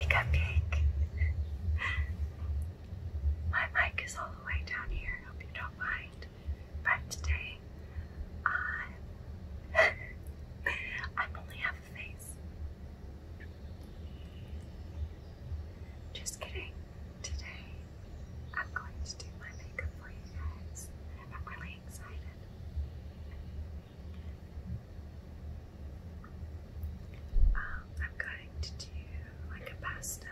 a cupcake. My mic is all the way down here. Hope you don't mind. But today, I I only have a face. Just kidding. Today, I'm going to do my makeup for you guys. I'm really excited. Um, I'm going to do like a pastel,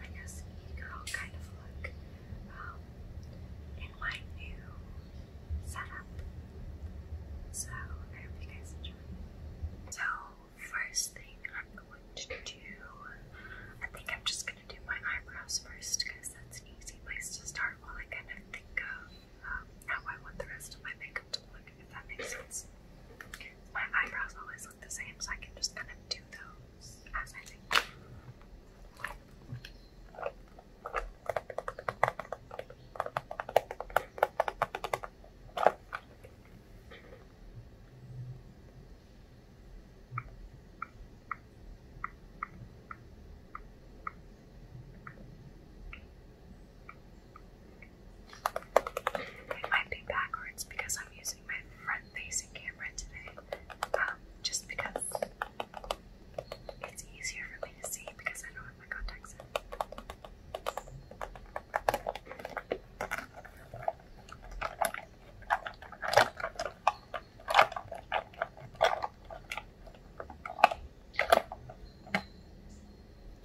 I guess, girl kind of look um, in my new setup. So I hope you guys enjoy. So first thing I'm going to do, I think I'm just going to do my eyebrows first because that's an easy place to start while I kind of think of how I want the rest of my makeup to look, if that makes sense. My eyebrows always look the same, so I can just kind of do those as I it might be backwards because I'm using my front facing camera today. Um, just because it's easier for me to see because I don't my contacts in.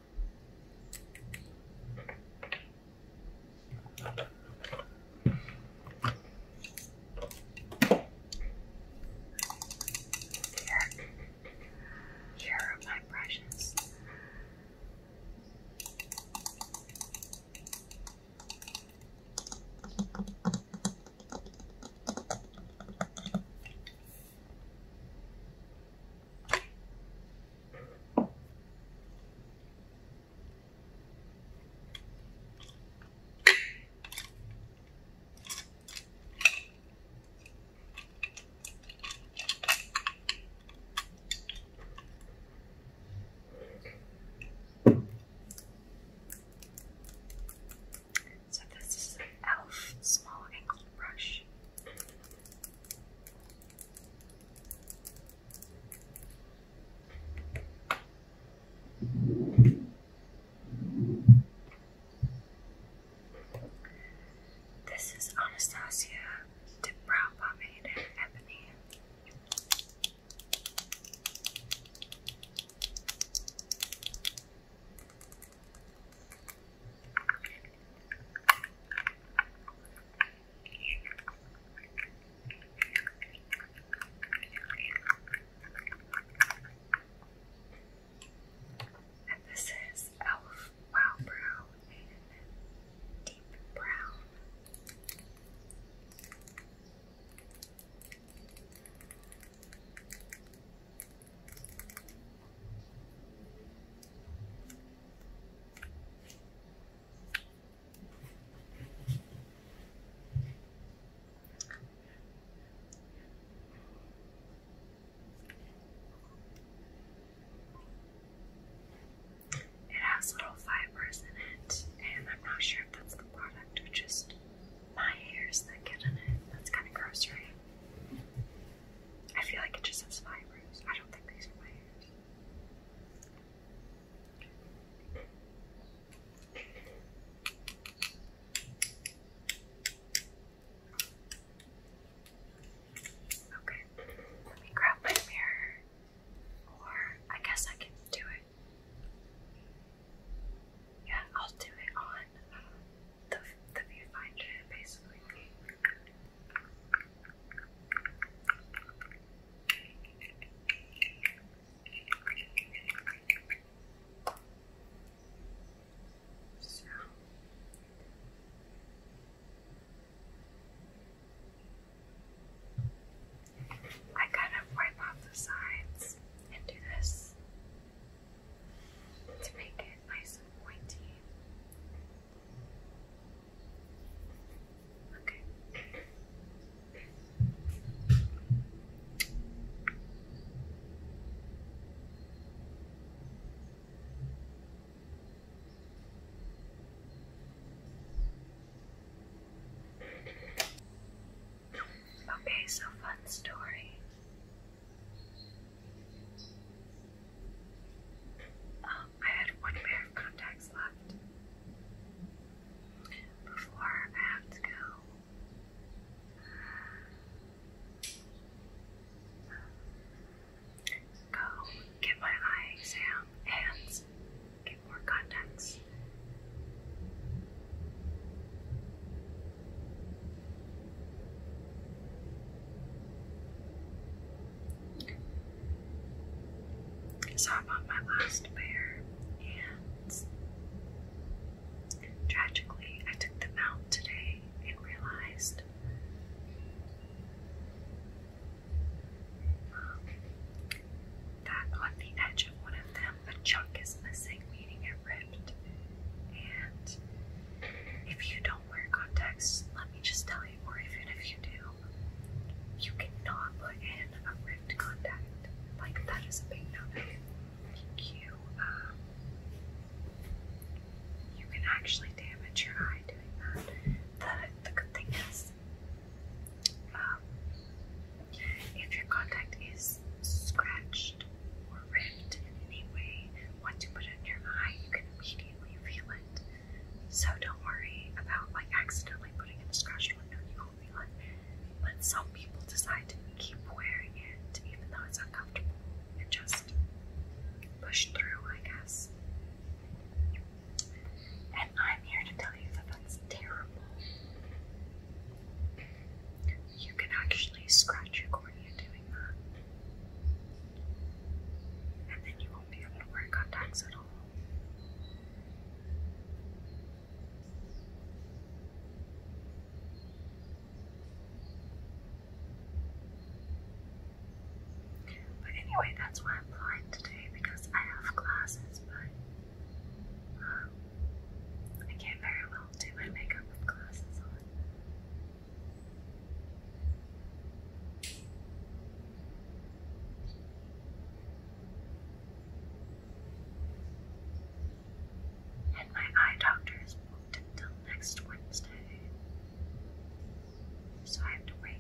Here, here are my brushes. So this is an elf small angled brush. This is Anastasia de Brow Pomade and Ebony. And this is Elf Brow and Deep Brown. It has little fibers in it, and I'm not sure if that's the product or just my hairs that get in it. That's kind of gross, right? I feel like it just says fibers. I don't think these are my ears. Okay, let me grab my mirror, or I guess I can do it. Yeah, I'll do it on uh, the the viewfinder, basically. So I kind of wipe off the sides and do this to make it nice and pointy. Okay. Okay, so fun story. I had one pair of contacts left before I have to go. Go get my eye exam and get more contacts. So I bought my last pair, and tragically, I took them out today and realized um, that on the edge of one of them, a chunk is missing, meaning it ripped. And if you don't wear contacts, let me just tell you, or even if you do, you cannot put in a ripped contact. Like, that is a big no-no. You, um, you can actually damage your eye doing that. The, the good thing is, um, if your contact is scratched or ripped in any way, once you put it in your eye, you can immediately immediately feel it. So don't worry about like accidentally putting in a scratched window, you won't feel it. But some people decide to keep wearing it even though it's uncomfortable and just push through, I guess. And I'm here to tell you that that's terrible. You can actually scratch your cornea doing that and then you won't be able to wear contacts at all. But anyway, that's why I'm flying today because I have classes, but um, I can't very well do my makeup with glasses on. And my eye doctor is booked until next Wednesday. So I have to wait.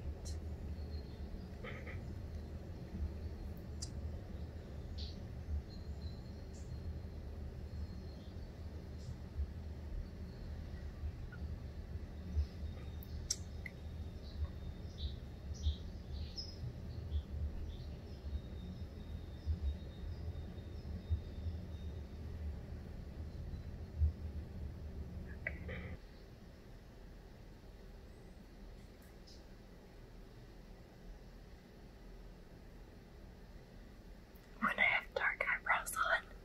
When I have dark eyebrows on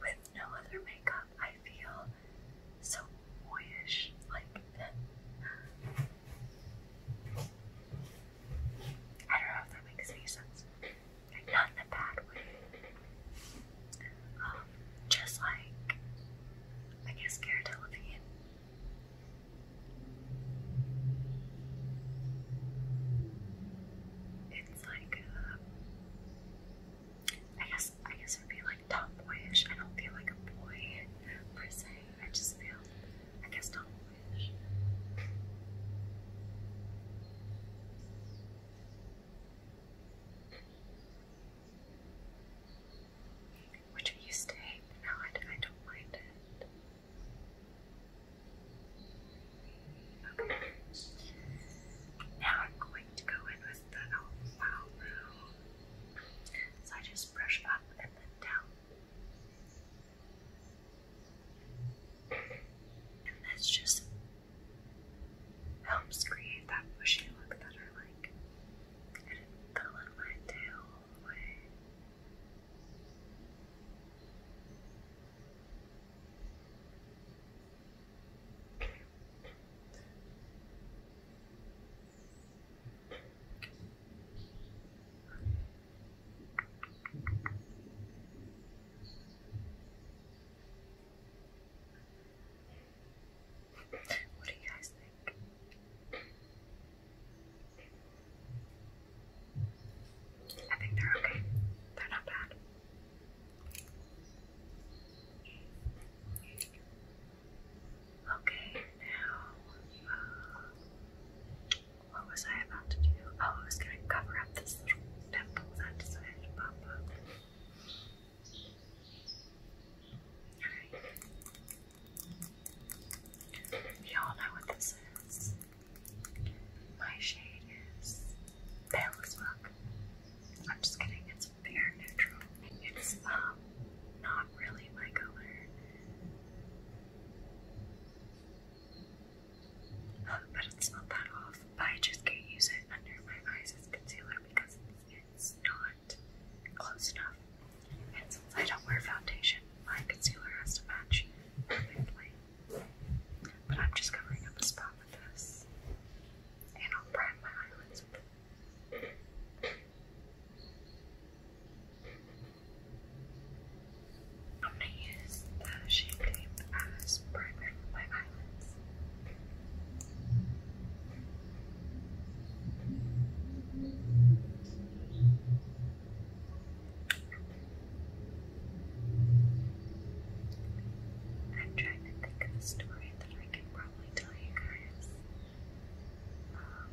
with no other makeup, I feel so boyish. Like, I don't know if that makes any sense. Like, not in a bad way. Um, just like, I guess, Cara Delevingne like, uh, I guess, I guess it would be like tomboyish. I don't feel like a boy per se. I just feel, I guess, tomboyish. Which I used to hate, I, I don't mind it. Okay. Now I'm going to go in with the Alpha oh, Room. So I just brush up and then down. And this just helps create that bushy look that I like. I didn't my tail all the way. What do you guys think? I think they're okay. They're not bad. Okay, now, uh, what was I about to do? Oh, I was going to cover up this little pimple that decided to pop up. Y'all know what this is. My shade is pale as fuck. I'm just kidding, it's fair neutral. It's um not really my color. But it's not that off. But I just can't use it under my eyes as concealer because it's not close enough. And since I don't wear foundation, my concealer has to match perfectly. But I'm just covering up a spot with this. And I'll prime my eyelids I'm gonna use the shade tape as my eyelids. I'm trying to think of a story that I can probably tell you guys um,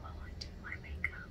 while I do my makeup.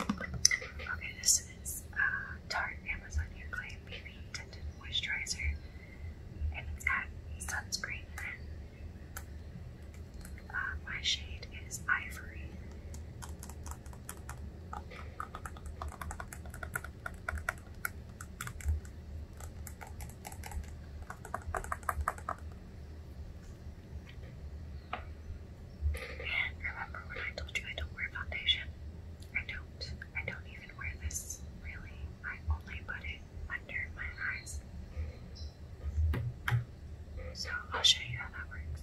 Okay, this is a uh, Tarte Amazon Clay BB Tinted Moisturizer, and it's got sunscreen in it. Uh, my shade is Ivory. And remember when I told you I don't wear foundation? I don't. I don't even wear this, really. I only put it under my eyes. So I'll show you how that works.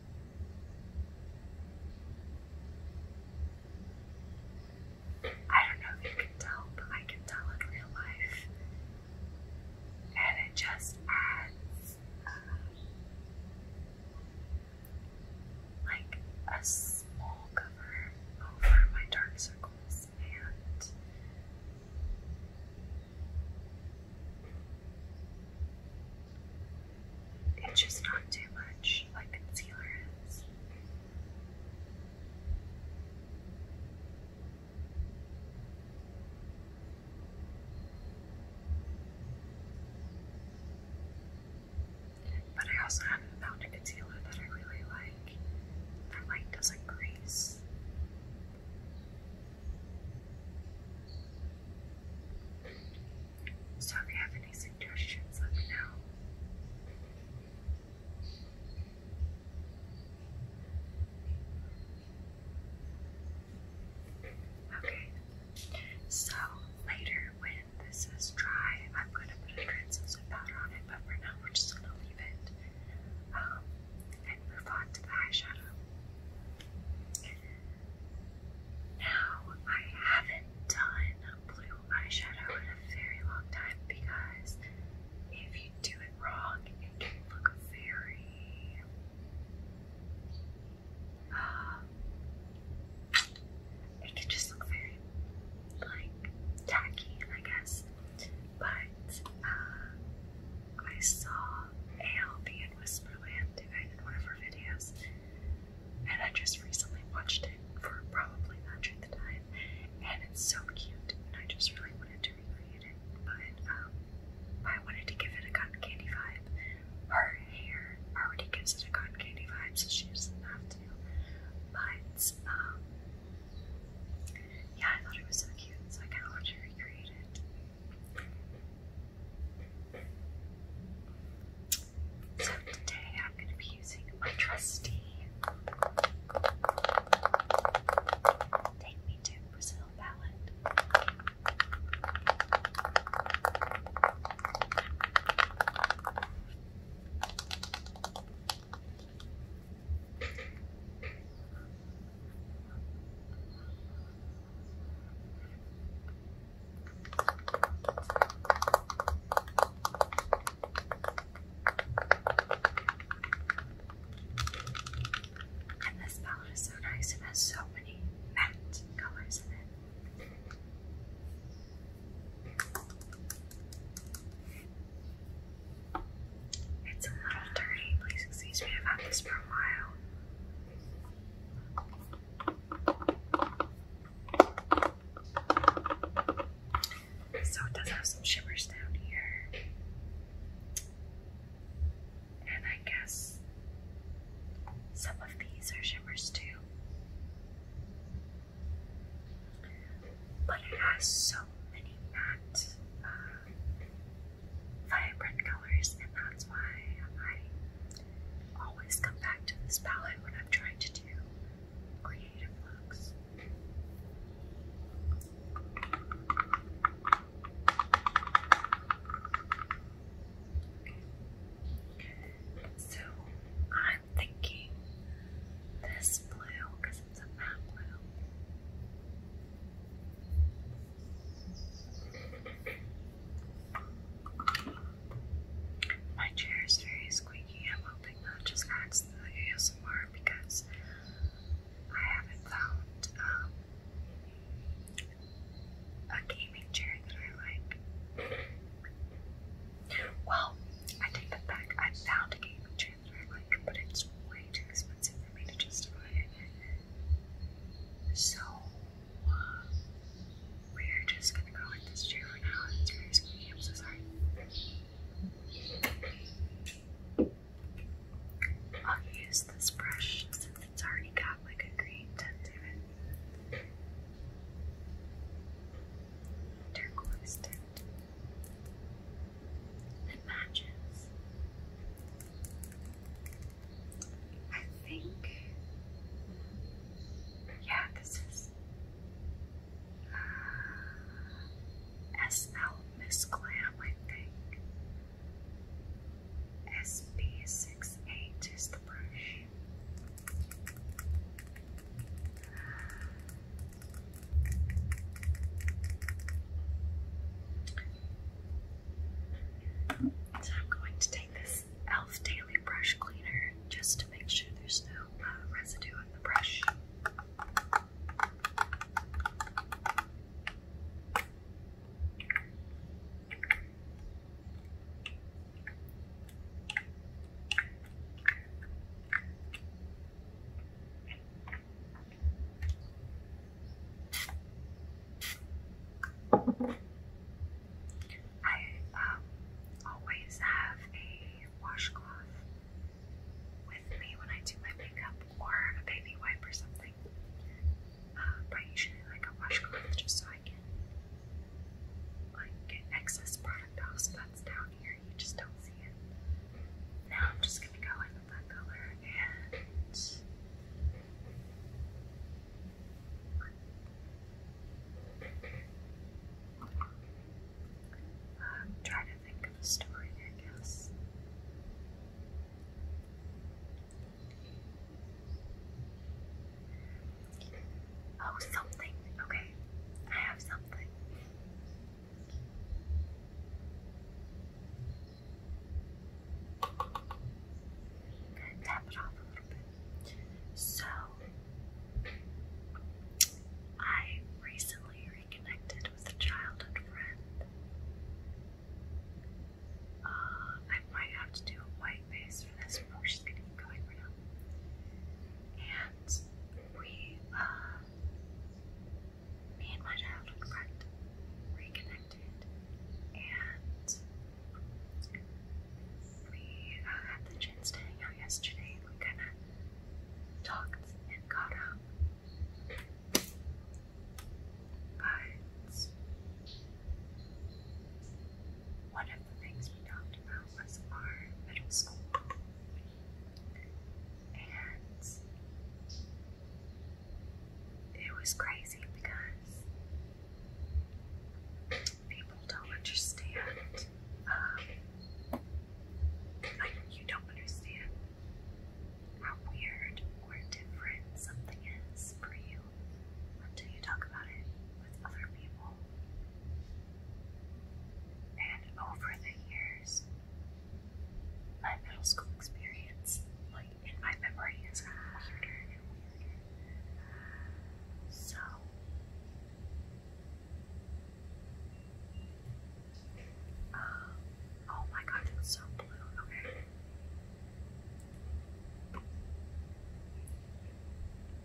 I don't know if you can tell, but I can tell in real life. And it just adds uh, like a small cover over my dark circles and it's just not too much like concealer is. But I also haven't found a concealer that I really like that like doesn't crease. So if you have any suggestions, let me know. Okay, so later when this is dry, I'm going to put a translucent powder on it, but for now we're just going to leave it um, and move on to the eyeshadow. Now, I haven't done blue eyeshadow in a very long time because if you do it wrong, it can look very um, it can just look very like tacky, I guess. But uh, I saw ALB and Whisperland in one of her videos, and I just recently watched it for probably not during the time, and it's so cute, and I just really wanted to recreate it, but um, I wanted to give it a cotton candy vibe. Her hair already gives it a cotton candy vibe, so she doesn't have to. But um, yeah, I thought it was so cute, so I kind of wanted to recreate it. So today I'm going to be using my trusty Take Me to Brazil palette. And this palette is so nice, it has so many matte colors in it. It's a little dirty, please excuse me, I've had this for a while. So it does have some shimmers down here. And I guess some of these are shimmers too. But it has so many matte, uh, vibrant colors, and that's why I Always come back to this palette when I'm trying to do creative looks. So I'm thinking this blue because it's a matte blue. My chair is very squeaky. I'm hoping that just adds to the ASMR because I haven't found um, a gaming chair that I like. Well, I take that back. I found a gaming chair that I like, but it's way too expensive for me to justify it. So we're just gonna go with this chair for now. It's very squeaky. I'm so sorry. I'll use this brush since it's already got like a green tint to it. Turquoise tint. It I think, yeah, this is uh, SL Miss Glam, I think. SB68 is the brush. So I'm going to take this e.l.f. Daily Brush Cleaner just to make sure there's no uh, residue on the brush. I um, always have a washcloth with me when I do my makeup or a baby wipe or something. Um, but usually like a washcloth just so I can like get excess product off so that's down here, you just don't see it. Now I'm just gonna go in with that color and i to think of a story, I guess. Oh, something. Okay, I have something. tap it off a little bit. So, I recently reconnected with a childhood friend. Uh, I might have to do a white face for this one. we gonna keep going for now. And we, uh, me and my childhood friend reconnected, and we uh, had the chance to hang out yesterday. We kind of talked and caught up. But one of the things we talked about was our middle school. And it was crazy because people don't understand. Um, like, you don't understand how weird or different something is for you until you talk about it with other people. And over the years, my middle school experience, like in my memory, is weirder and weirder. So uh, oh my god, it's so blue. Okay.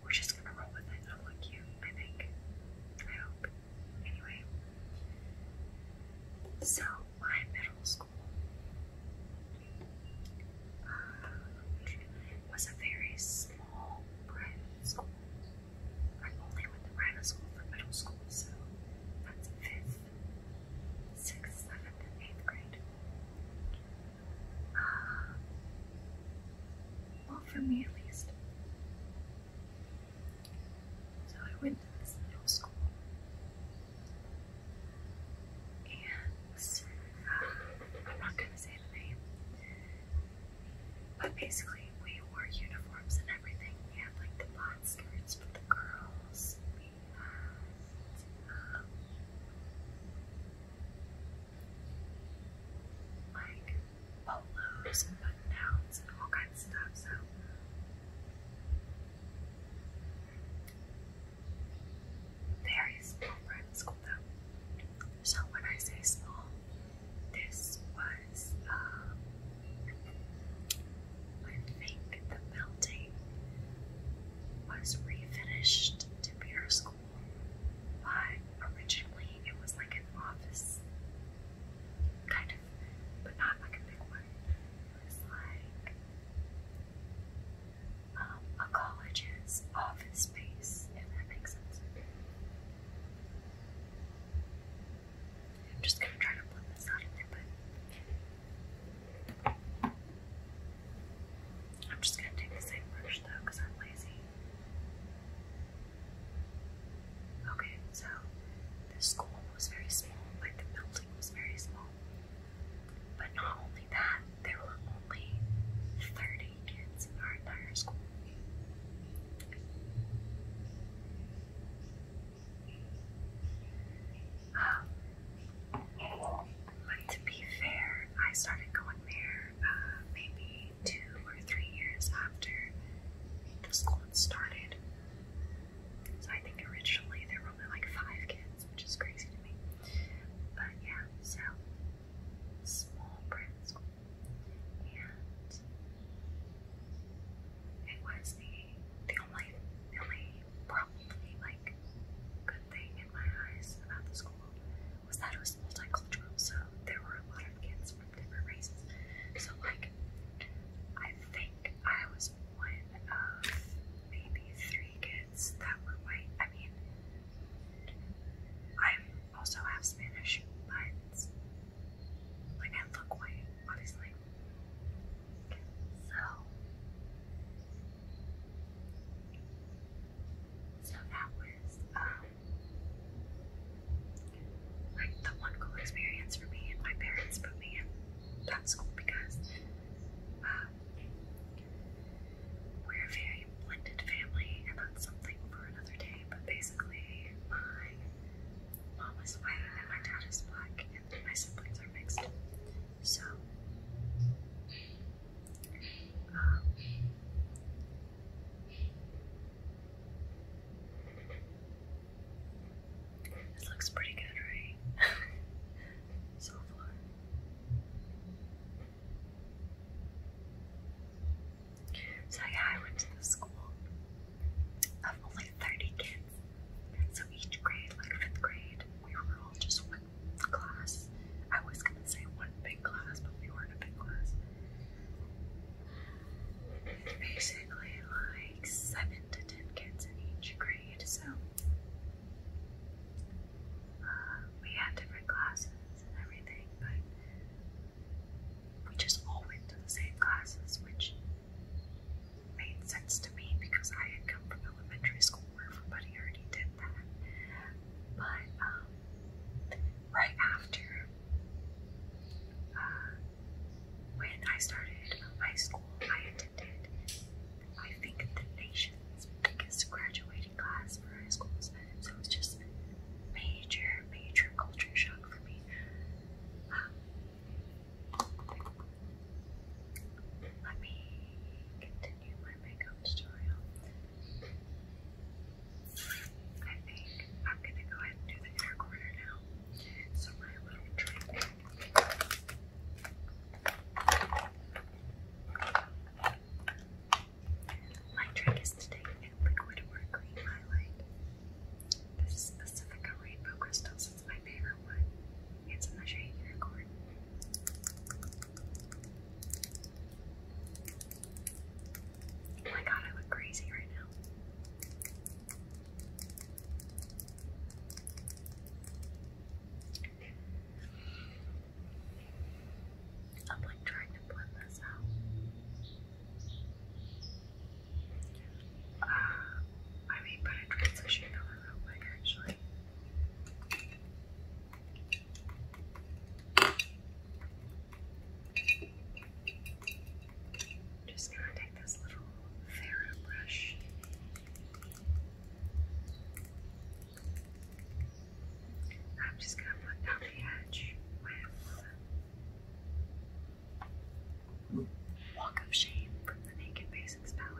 We're just gonna roll with it. It'll look cute, I think. I hope. Anyway. So my middle school was a very small school. I only went to private school for middle school, so that's fifth, sixth, seventh, eighth grade. Uh, well, for me at least. So I went to this middle school and uh, I'm not gonna say the name, but basically we wore uniforms and everything. We had like the black skirts for the girls. We had um, like polos and button downs and all kinds of stuff. So. There is no private school So when I say small, this was, um, I think the building was refinished to be our school, but originally it was like an office, kind of, but not like a big one. It was like um, a college's office space, if that makes sense. I'm just gonna try to blend this out in there, but I'm just gonna take the same brush though, I'm lazy. Okay, so the school was very small, like the building was very small. But not only that, there were only 30 kids in our entire school. Um, but to be fair, I started going there uh, maybe two or three years after the school had started. So I think originally there were only like five kids which is crazy to me. But yeah, so small prints, and it was the the only the only probably like good thing in my eyes about the school was that it was multicultural, so there were a lot of kids from different races. So like, I think I was one of maybe three kids that were white. I mean, i also have Spanish, but like I look white, obviously. So, so that was um, like the one cool experience for me, and my parents put me in that school because. Um, we're a very blended family, and that's something for another day. But basically, my mom is white, and my dad is black, and my siblings are mixed. So, um, this looks pretty good, right? so far. So yeah, I went to the school of only 30 kids. So each grade, like fifth grade, we were all just one class. I was gonna say one big class, but we weren't a big class. Basically, like seven to ten kids in each grade. So we had different classes and everything, but we just all went to the same classes, which made sense to me because I had come from elementary school where everybody already did that. But um, right after uh, when I started high school, I attended, I think, the nation biggest graduating class for high schools, so It was just major, major culture shock for me. Um, let me continue my makeup tutorial. I think I'm gonna go ahead and do the inner corner now. So my little trick. My trick is to a liquid or highlight. This is Pacifica Rainbow Crystals. It's my favorite one. It's in the shade Unicorn. Oh my god, I look crazy right now. I'm like trying to blend this out. Uh, I mean, but transition color quick actually. Just gonna take this little Farrah brush. I'm just going to put down the edge with Walk of Shame from the Naked Basics palette.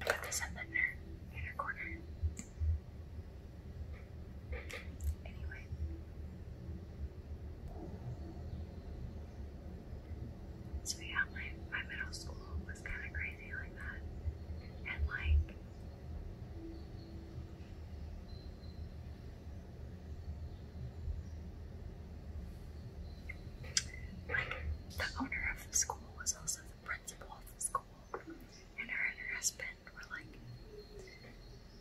Put this in the inner, corner. Anyway. So yeah, my, my middle school was kind of crazy like that. And like, the owner of the school was also the principal of the school, and her and her husband were like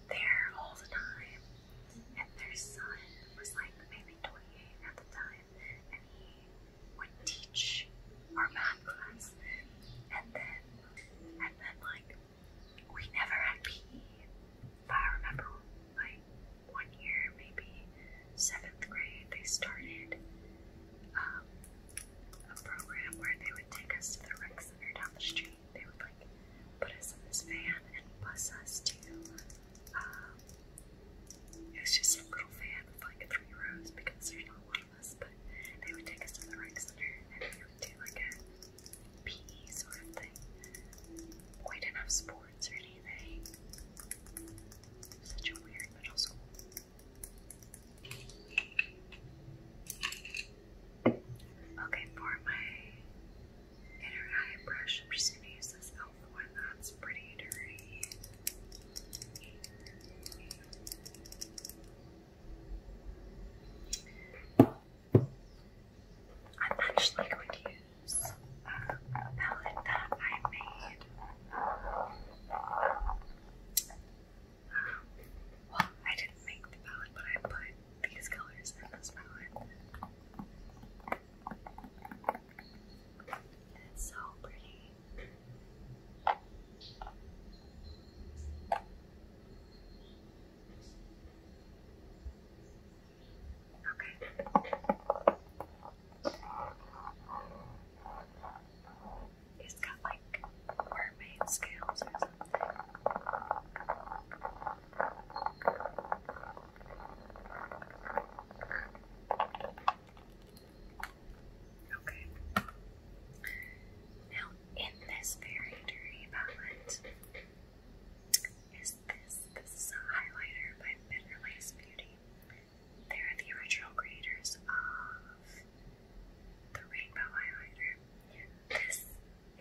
there all the time. And their son was like maybe 28 at the time, and he would teach our math class. And then, and then, like, we never had PE. But I remember, like, one year, maybe seventh grade, they started um, a program where they would take us to the rec center down the street. They would, like, put us in this van and bus us to, um, it was just a little van with, like, three rows because there's not but they would take us to the right center and we would do like a PE sort of thing. We didn't have sports or anything. such a weird middle school. Okay, for my inner eye brush, I'm just gonna use this elf one that's pretty dirty. I'm actually going to use uh, a palette that I made. Um, well, I didn't make the palette, but I put these colors in this palette. It's so pretty. It's got like mermaid scales or something. Okay. Now, in this very dirty palette is this. This highlighter by Bitterlace Beauty. They're the original creators of the rainbow highlighter. This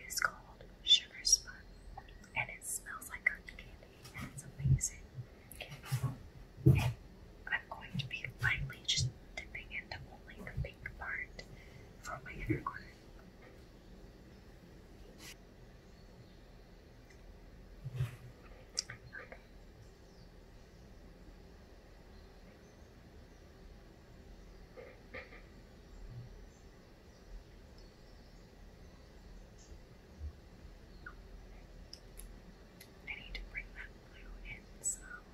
is called Sugar Spun, and it smells like cotton candy, and it's amazing. I'm going to be lightly just dipping into only the pink part for my inner corner. I need to bring that blue in some.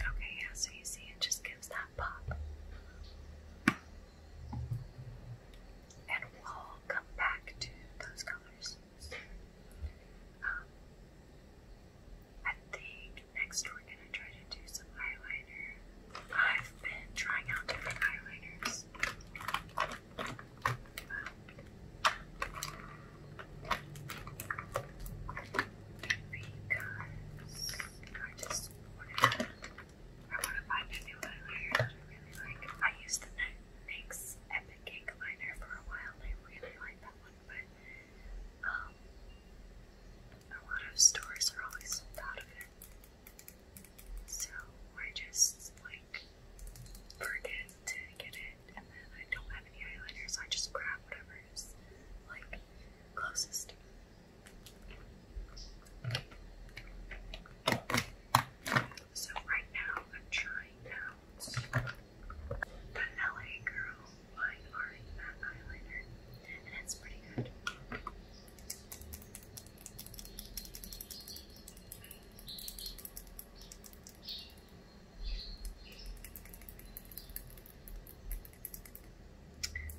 Okay, yeah, so you see it just gives that pop. And we'll come back to those colors. Um, I think next we're gonna try to do some eyeliner. I've been trying out different eyeliners. Because I just whatever. I want to find a new eyeliner that I really like. I used the NYX Epic Cake liner for a while. I really like that one, but um, a lot of stores are always sold out of it. So I just like forget to get it, and then I don't have any eyeliners. So I just grab whatever is like closest. So right now I'm trying out the LA Girl Fine Art Matte Eyeliner, and it's pretty good.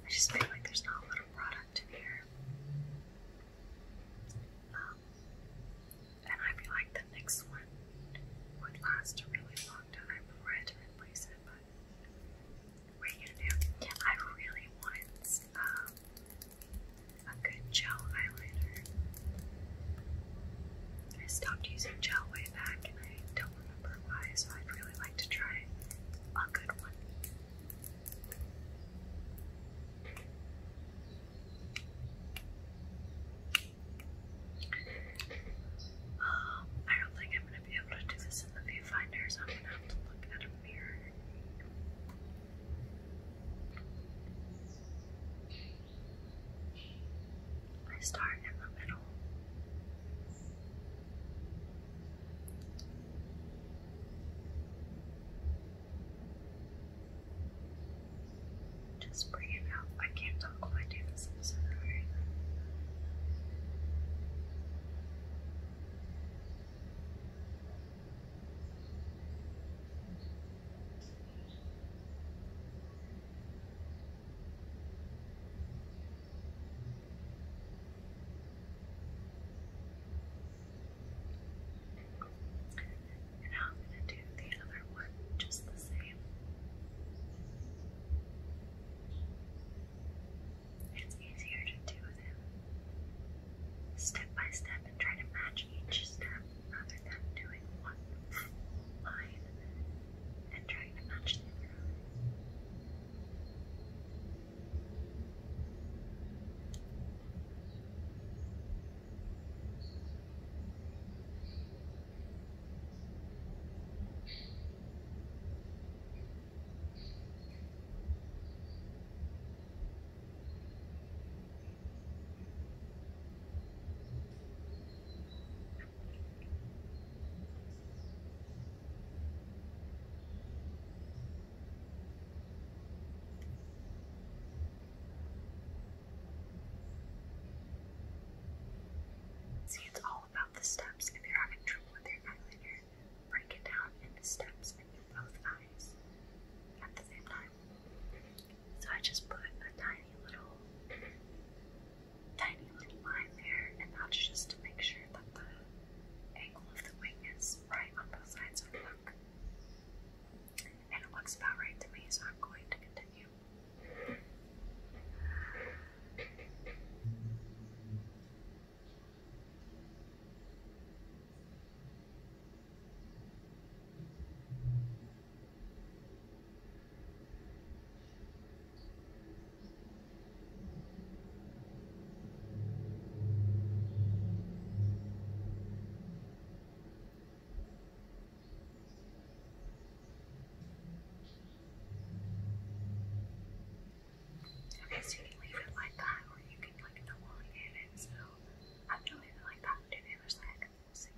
I just feel like there's not a lot product in here. Um, and I feel like the next one would last a really long time before I had to replace it, but what are you going I really want um, a good gel eyeliner. I stopped using gel way back and I don't remember why, so I'd really like to try a good one. Um, I don't think I'm gonna be able to do this in the viewfinder, so I'm gonna have to look at a mirror. I start in the middle. Just bring it out. I can't talk when I this. i so tired. And I'm going to do the other one just the same. It's easier to do them step by step and try to match each step rather than doing one line and trying to match the See, it's all about the steps. If you're having trouble with your eyeliner, break it down into steps and do both eyes at the same time. So I just put a tiny little tiny little line there, and that's just to make sure that the angle of the wing is right on both sides of the hook. And it looks about right to me, so I'm going to continue. Okay, so you can leave it like that, or you can like elongate it. So I'm gonna leave it like that do the other side. We'll see.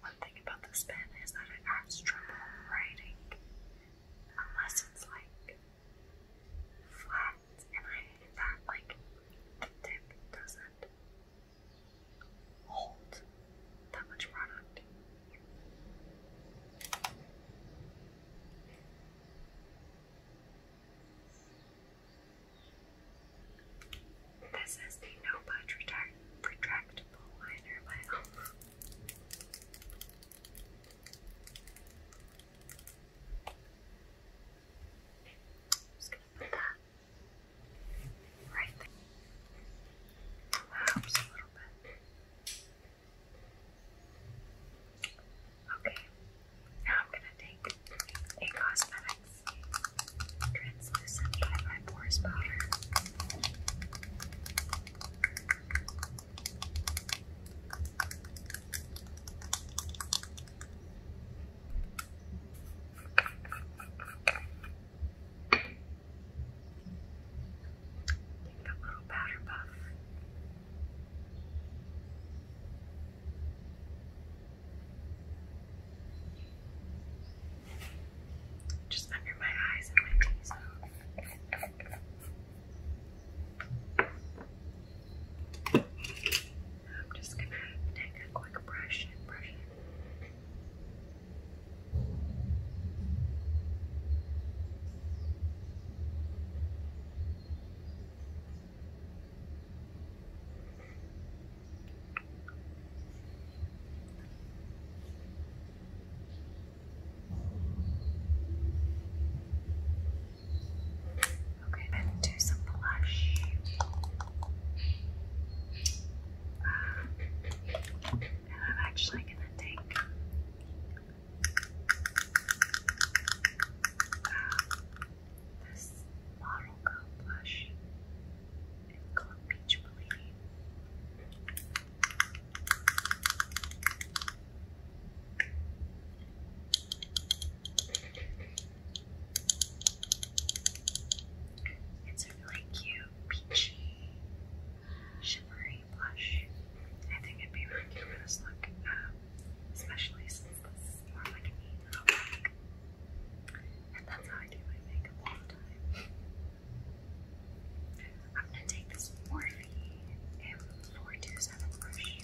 One thing about this pen is that it has trouble writing unless it's like flat, and that. Like the tip doesn't hold that much product. This is the No Budge Retract I'm just gonna put that right there. helps a little bit. Okay, now I'm gonna take a cosmetics translucent by my pores powder. Take that little powder puff just under my eyes and my knees. I'm just gonna take a quick brush and brush it. Okay, then do some blush. and I'm actually going to take uh, this model coat blush. It's called Peach Bellini. It's a really cute, peachy, shimmery blush. I think it'd be really cute for this look, um, especially since this is more like an And that's how I do my makeup all the time. I'm gonna take this Morphe M427 brush.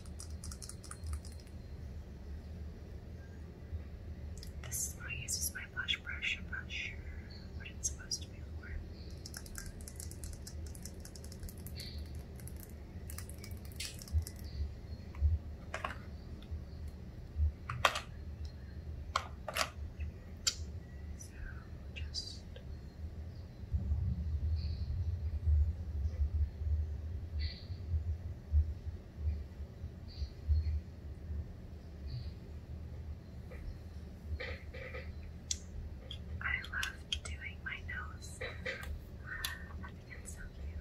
This is what I as my blush brush. I'm not sure what it's supposed to be for just I love doing my nose. it's so cute.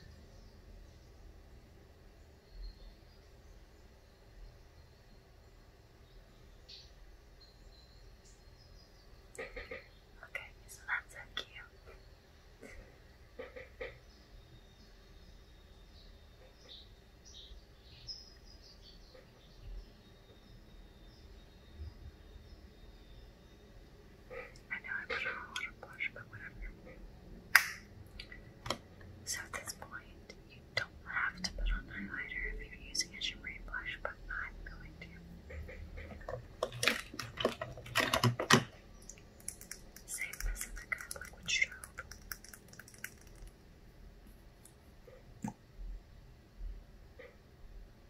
Okay, so that's so cute. I know I put on a lot of blush, but whatever. So at this point, you don't have to put on highlighter if you're using a shimmery blush, but I'm going to. Save this in the kind of liquid strobe.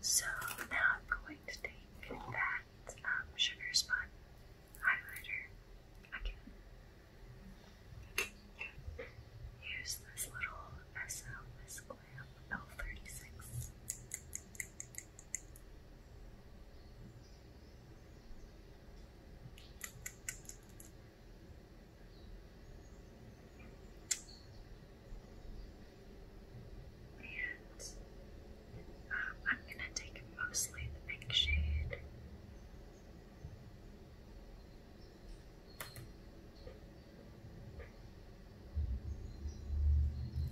So now I'm going to take that um, sugar spot highlighter again Here's this little SL Miss Glam L36. And um, I'm going to take mostly the pink shade.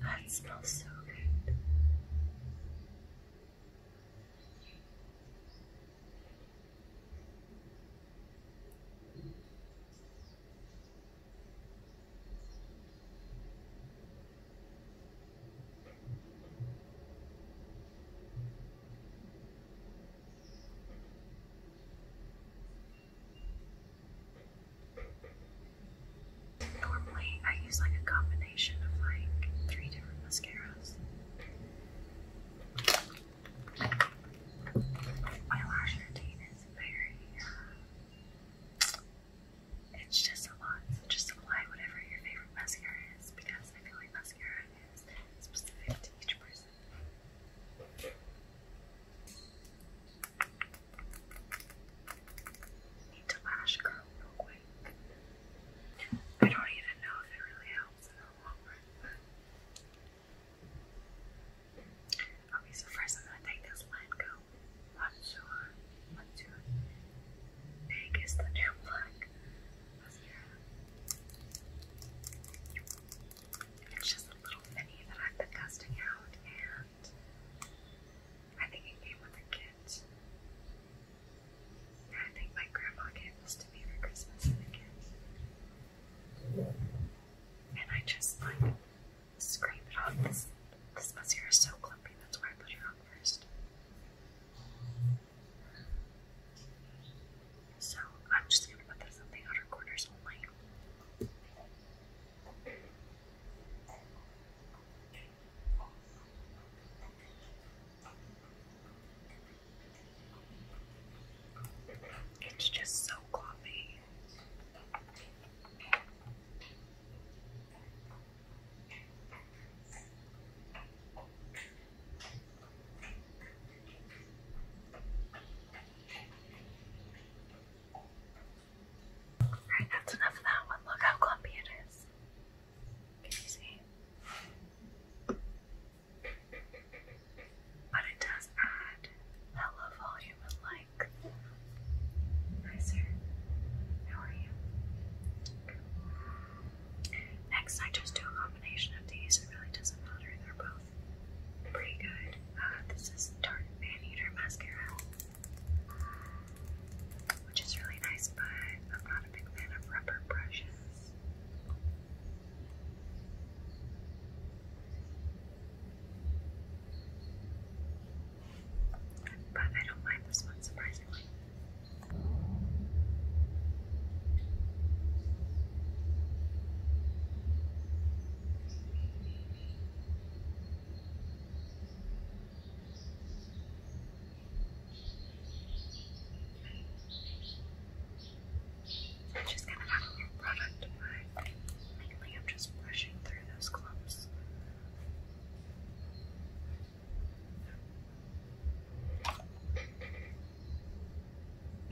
That smells so good. Normally, I use like a combination of like three different mascaras. My lash routine is very, uh, it's just a lot. Just apply whatever your favorite mascara is because I feel like mascara is specific to each person. Need to lash curl real quick. I don't even know if it really helps in the long run. Okay, so first I'm gonna take this Lanco Contour Contour Pink is the new black mascara. It's just a little mini that I've been testing out, and I think it came with a kit. Yeah, I think my grandma gave this to me for Christmas in a kit. And I just like scrape it off. This this mascara is so clumpy, that's why I put it on first. So I'm just gonna put this on the outer corners only. It's just so coffee that's enough of that one. Look how clumpy it is. Can you see? But it does add hella volume like Hi sir. How are you? Next I just do a combination of these. It really doesn't matter. They're both both pretty good. Uh, this is Tarte Maneater Mascara, which is really nice, but I'm not a big fan of rubber brushes. But I don't mind this one surprisingly. I'm just gonna have a little product mainly I'm just brushing through those clumps.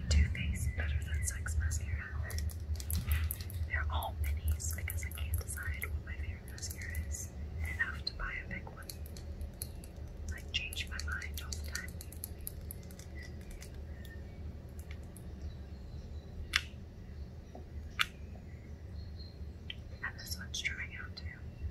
Too Faced Better Than Sex Mascara. They're all minis because I can't decide what my favorite mascara is and to buy a big one. I change my mind all the time. And this one's drying out too.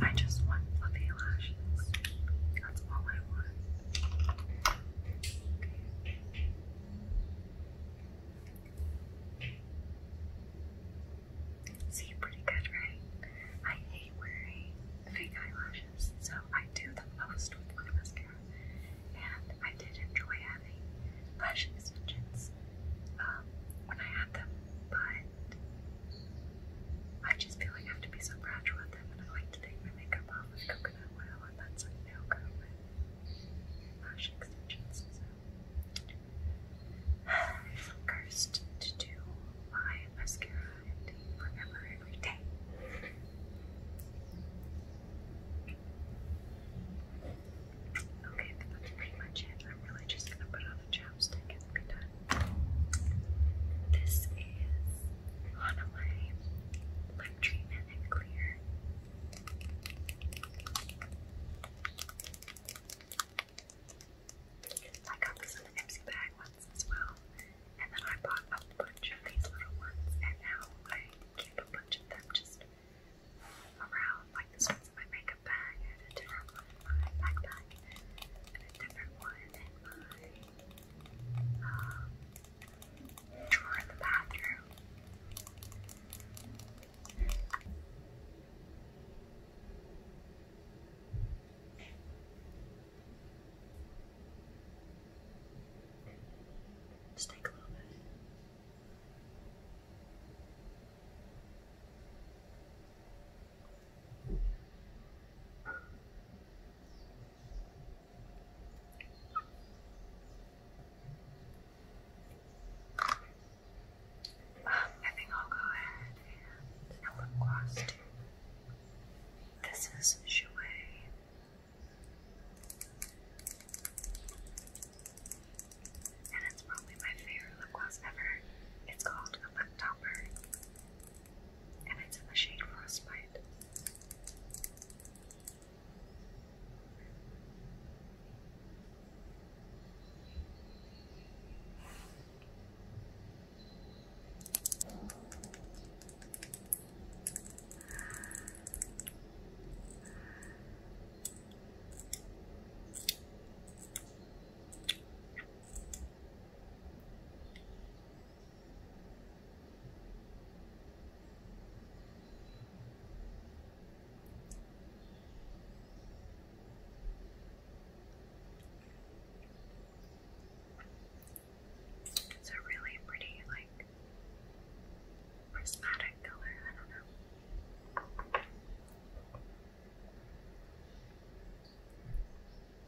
I just want fluffy lashes. That's all I want. See, pretty good, right? I hate wearing fake eyelashes, so I do the most with my mascara. And I did enjoy having lash extensions um, when I had them, but I just feel like I have to be so gradual with them, and I like to take my makeup off with coconut oil, and that's like nail go with lash extensions. I'm cursed to do my mascara every day. Okay, that's pretty much it. I'm really just gonna put on a jacket. This is Hanamai Lip Treatment and Clear. I got this in an Ipsy bag once as well, and then I bought a bunch of these little ones, and now I keep a bunch of them just around. Like this one's in my makeup bag, and a different one in my backpack, and a different one in my drawer in the bathroom. Just take a little bit. I think I'll go ahead and a lip gloss too. This is Jouer. And it's probably my favorite lip gloss ever. It's called a lip topper and it's in the shade Frostbite. It's a really pretty, like, prismatic color. I don't know.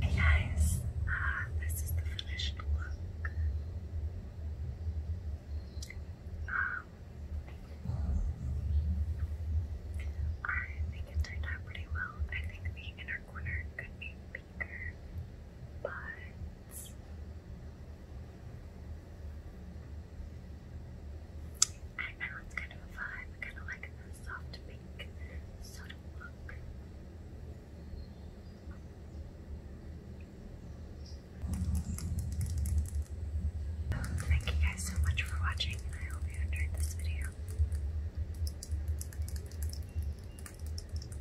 Hey guys, uh, this is the finished look. Um, I think it turned out pretty well. I think the inner corner could be bigger, but I know it's kind of a vibe. kind of like the soft pink, sort Thank you guys so much for watching, and I hope you enjoyed this video.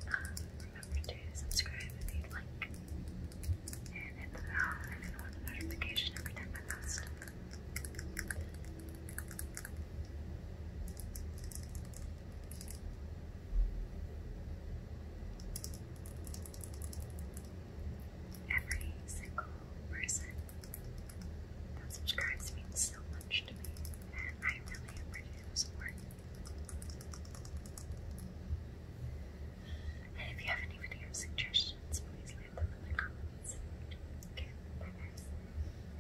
Um, remember to subscribe if you'd like, and hit the bell if you want a notification every time I post. Every single person that subscribes means so much to me, and I really appreciate the support. And if you have any video suggestions, please leave them in the comments. Okay, bye guys.